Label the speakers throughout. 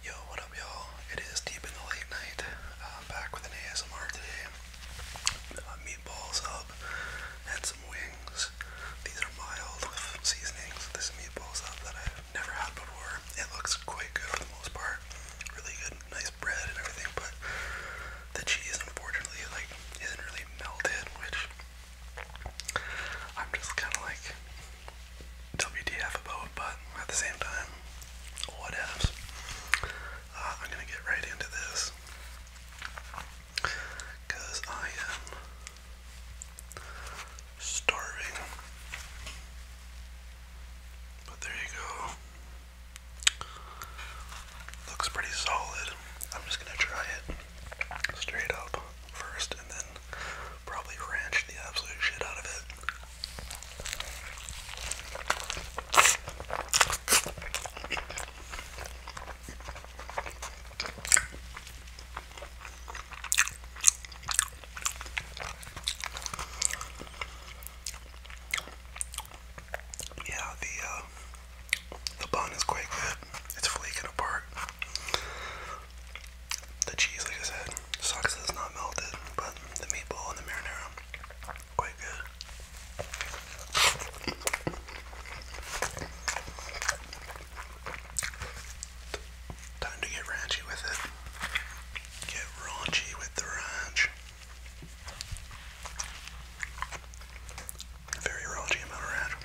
Speaker 1: Yo, what up, y'all? It is deep in the late night. Uh, I'm back with an ASMR today. Uh, meatballs up and some wings. These are mild with seasonings. This meatballs up that I've never had before. It looks quite good for the most part. Really good, nice bread and everything, but the cheese, unfortunately, like isn't really melted, which I'm just kind of like WTF about, but at the same time, what ifs. Uh, I'm gonna get right into this I am starving. But there you go. Looks pretty solid. I'm just gonna try it straight up first and then probably ranched the absolute shit out of it. Yeah, the uh, the bun is quite good. It's flaking apart. The cheese, like I said, sucks that it's not melted, but the meatball and the marinara, quite good. Time to get raunchy with it. Get raunchy with the ranch. Very raunchy amount of ranch.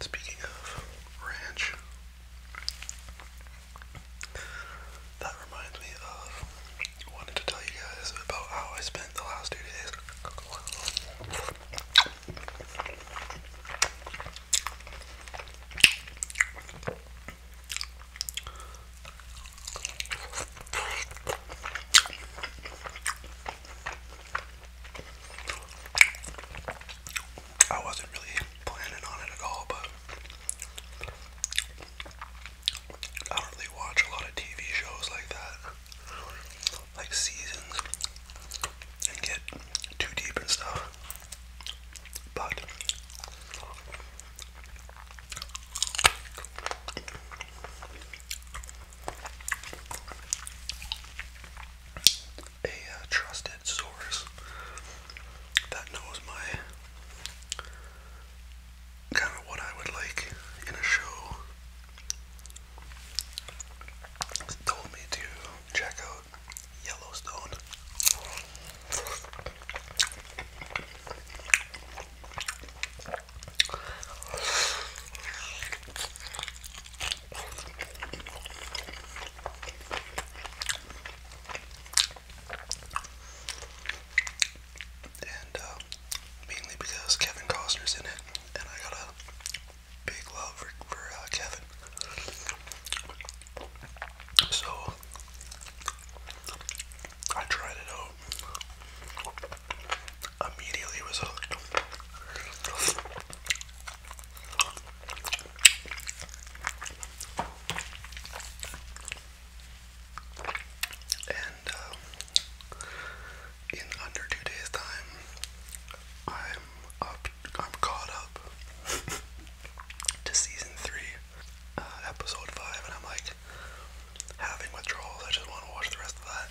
Speaker 1: Speaking of ranch, that reminds me of wanted to tell you guys about how I spent the last two days. I wasn't really planning on it at all, but I don't really watch a lot of TV shows like that, like seasons, and get too deep and stuff. But a uh, trusted source that knows my kind of what I would like in a show told me to check out Yellowstone. And uh, mainly because Kevin Costner's in it, and I got a big love for, for uh, Kevin. So I tried it out. Immediately was hooked. And um, in under two days' time, I'm up. I'm caught up. to season three, uh, episode five, and I'm like having withdrawals. I just want to watch the rest of that.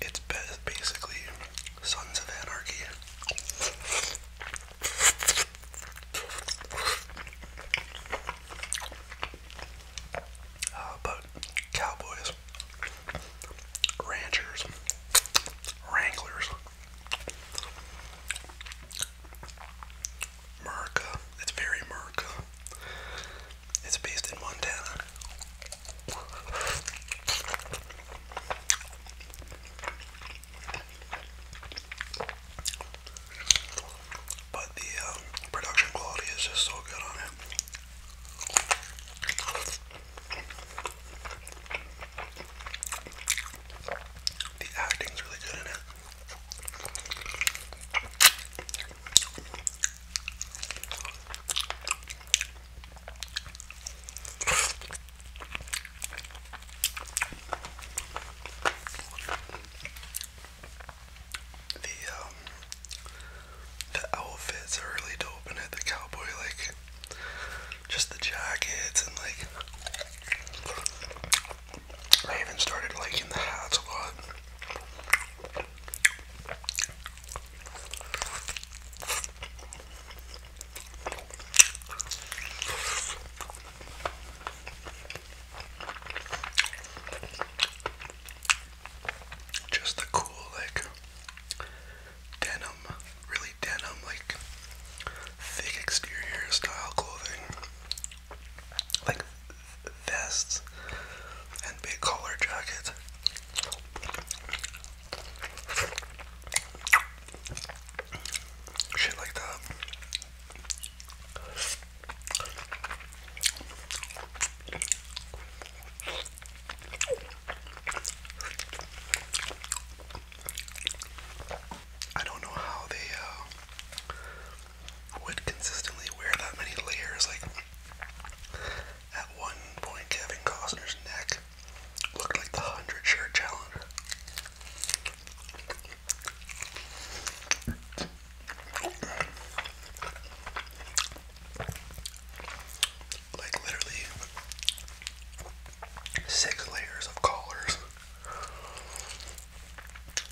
Speaker 1: It's basically Sons of Anarchy. Uh, but cowboys, ranchers, wranglers, America. It's very America. It's based in Montana. But the uh, production quality is just so good on it. The acting's really good in it. The um the outfits are really dope it, the cowboy like just the jackets and like I even started liking the hats a lot. Just the cool, like denim, really denim, like thick exterior style clothing, like vests and big collar jackets. Shit like that. I don't know how they uh, would consistently wear that many layers. Like, at one point, Kevin Costner's neck looked like the 100 shirt challenge. Like, literally, six layers of collars.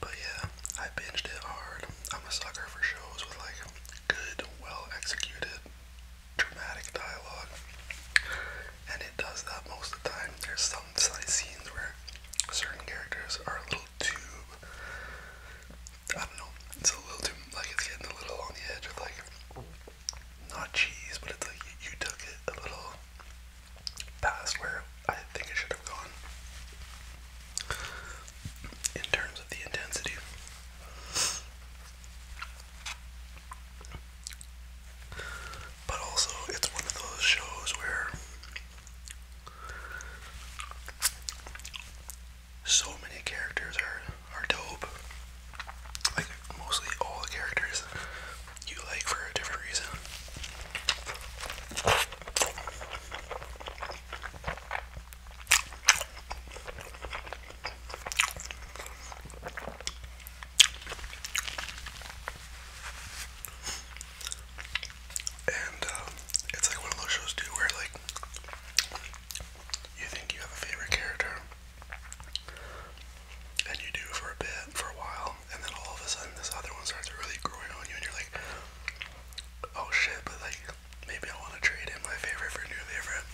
Speaker 1: But yeah, I binged it hard. I'm a sucker for shows with like good, well executed, dramatic dialogue. And it does that most of the time. There's some scenes where certain characters are a little too I don't know, it's a little too like it's getting a little on the edge of like not cheese, but it's like you, took it a little past where I think it should have kind in terms of the intensity. But also, it's one of those shows where so many characters are are dope. Like mostly all the characters you like for a different reason. And uh, it's like one of those shows too where like you think you have a favorite character and you do for a bit, for a while, and then all of a sudden this other one starts really growing on you and you're like, oh shit, but like maybe I want to trade in my favorite for new favorite.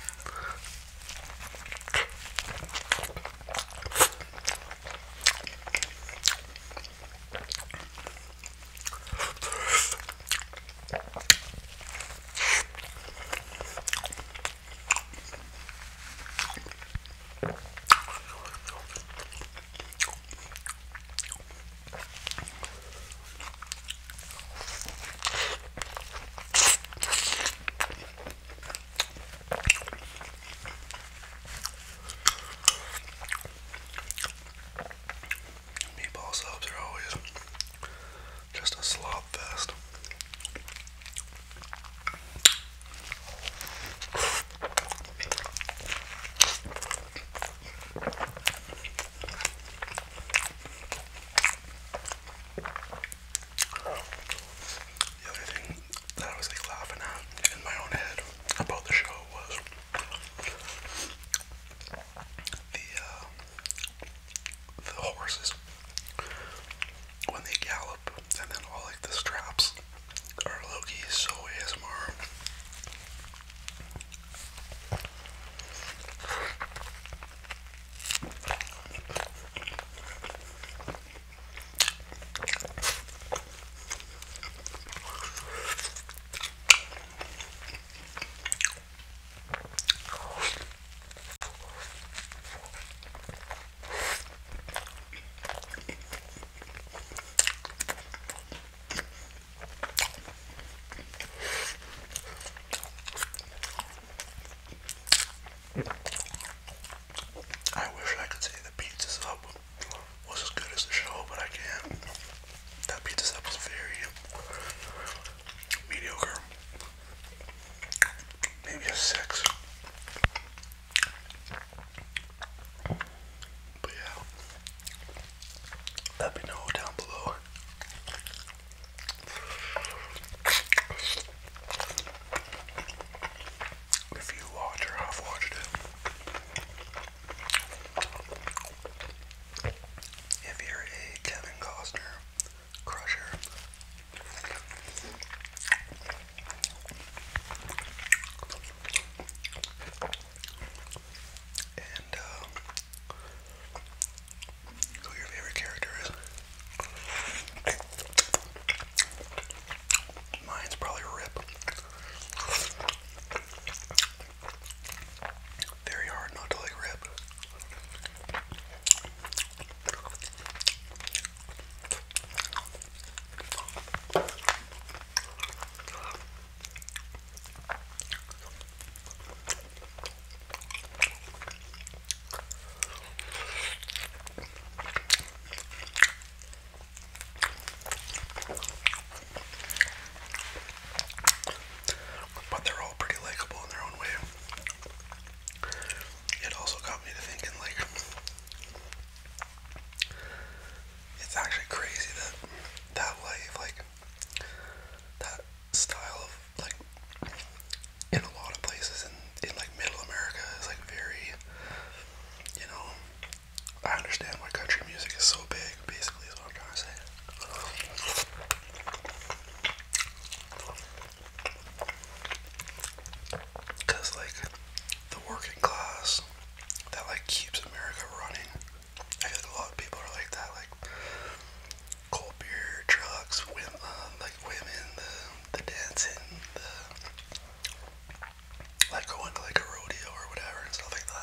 Speaker 1: Meatball subs are always just a slop fest. The other thing that I was like laughing at in my own head about the show was the uh, the horses when they gallop and then all like the straps or Loki is so ASMR. I wish I could say the pizza sub was as good as the show, but I can't. That pizza sub was very mediocre. Maybe a six. But yeah, let me know down below. If you watch or have watched it, if you're a Kevin Costner crusher, and uh, who your favorite character is? Mine's probably Rip. Very hard not to like Rip. But they're all pretty likable in their own way. It also got me to thinking, like, it's actually crazy that that life, like that style of like in a lot of places in, in like middle America is like very you know I understand why country music is so big basically is what I'm trying to say. Cause like the working class that like keeps America running. I feel like a lot of people are like that, like cold beer, drugs, um, like women, the the dancing, like going to like a rodeo or whatever stuff like that.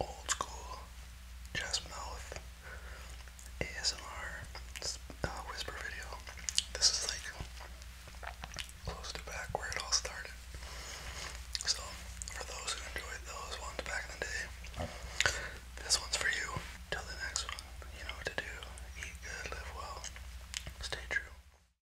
Speaker 1: Old school, just mouth ASMR uh, whisper video. This is like close to back where it all started. So, for those who enjoyed those ones back in the day, this one's for you. Till the next one, you know what to do. Eat good, live well, stay true.